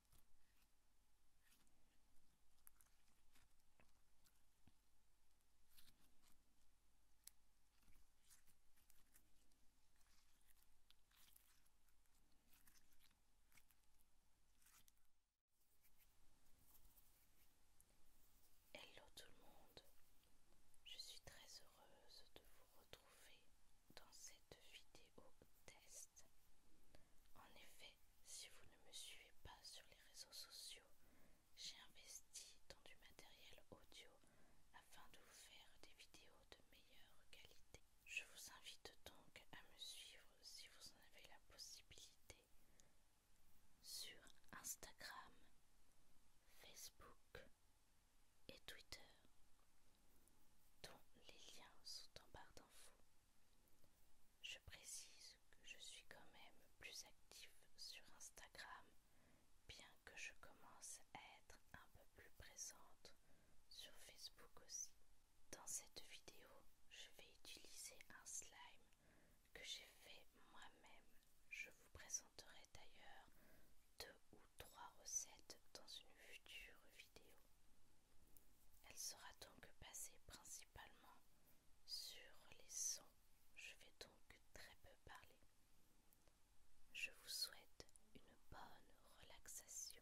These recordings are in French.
Hello tout le monde, je suis très heureuse de vous retrouver dans cette vidéo test en effet, si vous ne me suivez pas sur les réseaux sociaux, j'ai investi dans du matériel audio afin de vous faire des vidéos de meilleure qualité. Je vous invite donc à me suivre si vous en avez la possibilité sur Instagram, Facebook et Twitter dont les liens sont en barre d'infos. Je précise que je suis quand même plus active sur Instagram, bien que je commence à être un peu plus présente sur Facebook aussi. Dans cette vidéo, je vais utiliser un slime que j'ai fait moi-même. Je vous présenterai d'ailleurs deux ou trois recettes dans une future vidéo. Elle sera donc basée principalement sur les sons. Je vais donc très peu parler. Je vous souhaite une bonne relaxation.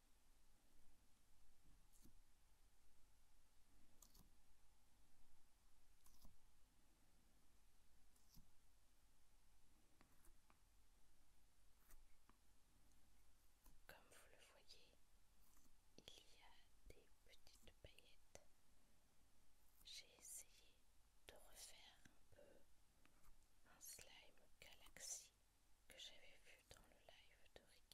Comme vous le voyez, il y a des petites paillettes. J'ai essayé de refaire un peu un slime galaxy que j'avais vu dans le live de Ricky.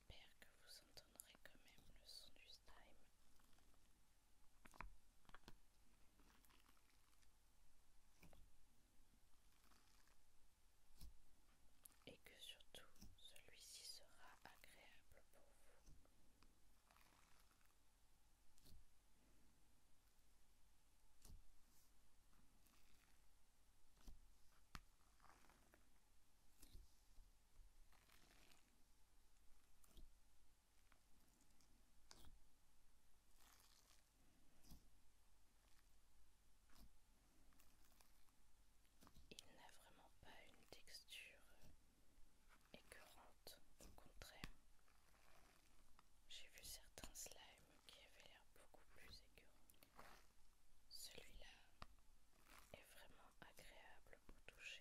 J'espère que vous entendrez quand même le son du style Et que surtout celui-ci sera agréable pour vous. Il n'a vraiment pas une texture écœurante, au contraire. J'ai vu certains slimes qui avaient l'air beaucoup plus écœurants. Celui-là est vraiment agréable au toucher.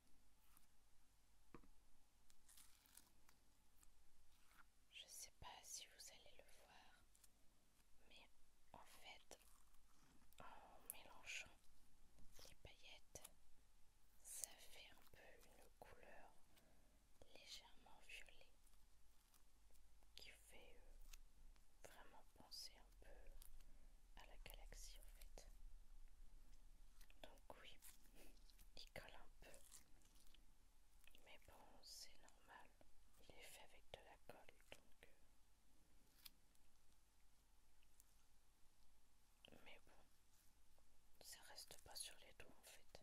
Je sais pas si vous allez le voir, mais en fait, en mélangeant les paillettes, ça fait un peu une couleur légèrement violet qui fait euh, vraiment penser un peu à la galaxie en fait. Donc oui, il colle un peu. Mais bon, c'est normal. Il est fait avec de la colle, donc... Euh. Mais bon, ça reste pas sur les doigts en fait.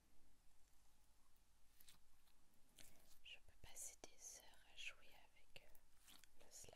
Je peux passer des heures à jouer avec euh, le slime.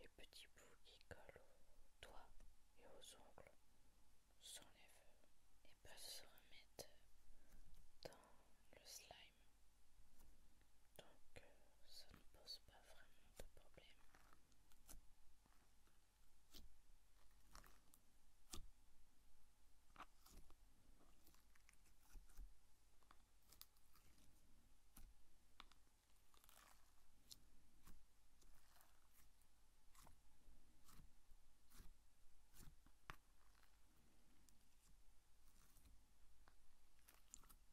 Les petits bouts qui collent aux doigts et aux ongles s'enlèvent et peuvent se remettre dans le slime. Donc euh, ça ne pose pas vraiment de problème.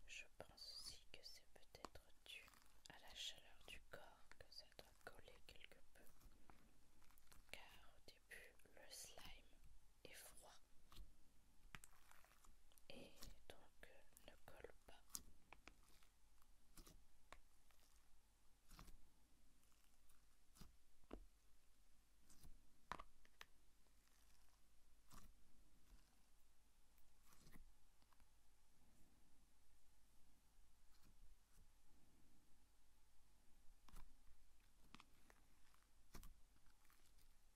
Je pense aussi que c'est peut-être dû à la chaleur du corps que ça doit coller quelque peu, car au début le slime est froid et donc euh, ne colle pas.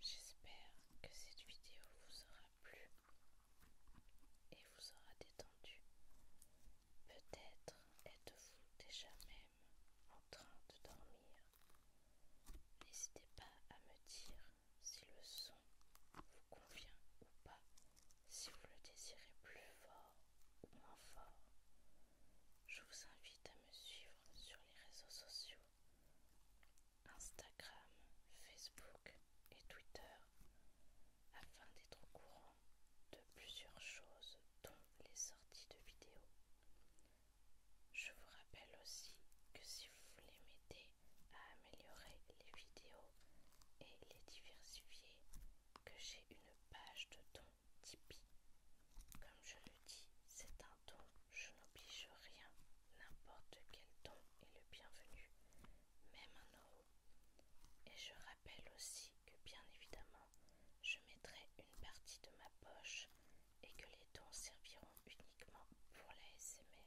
J'espère que cette vidéo vous aura plu et vous aura détendu. Peut-être êtes-vous déjà même en train de dormir. N'hésitez pas à me dire si le son vous convient ou pas. Si vous le désirez plus fort ou moins fort, je vous invite à me suivre sur les réseaux sociaux Instagram, Facebook et Twitter afin d'être au courant de plusieurs choses dont les sorties de vidéos. Je vous rappelle aussi que si vous voulez m'aider à améliorer les vidéos et les diversifier que j'ai une page de dons Tipeee. Comme je le dis, c'est un don, je n'oblige rien, n'importe quel don est le bienvenu, même un euro. Et je rappelle aussi que bien évidemment, je mettrai une partie de ma poche et que les dons serviront uniquement pour la SMR.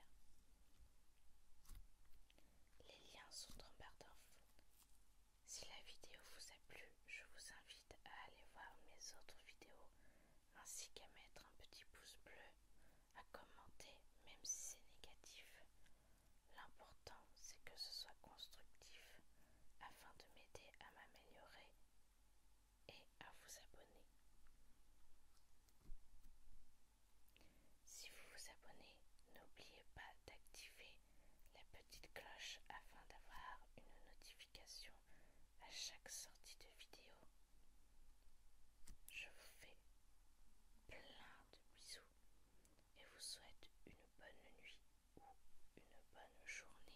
Les liens sont en barre Si la vidéo vous a plu, je vous invite à aller voir mes autres vidéos ainsi qu'à mettre un petit pouce bleu, à commenter même si c'est négatif. L'important c'est que ce soit constructif afin de m'aider à m'améliorer et à vous abonner. Si vous vous abonnez, n'oubliez pas d'activer la petite cloche afin d'avoir une notification à chaque sortie de vidéo. Je vous fais plein de bisous et vous souhaite une bonne nuit ou une bonne journée.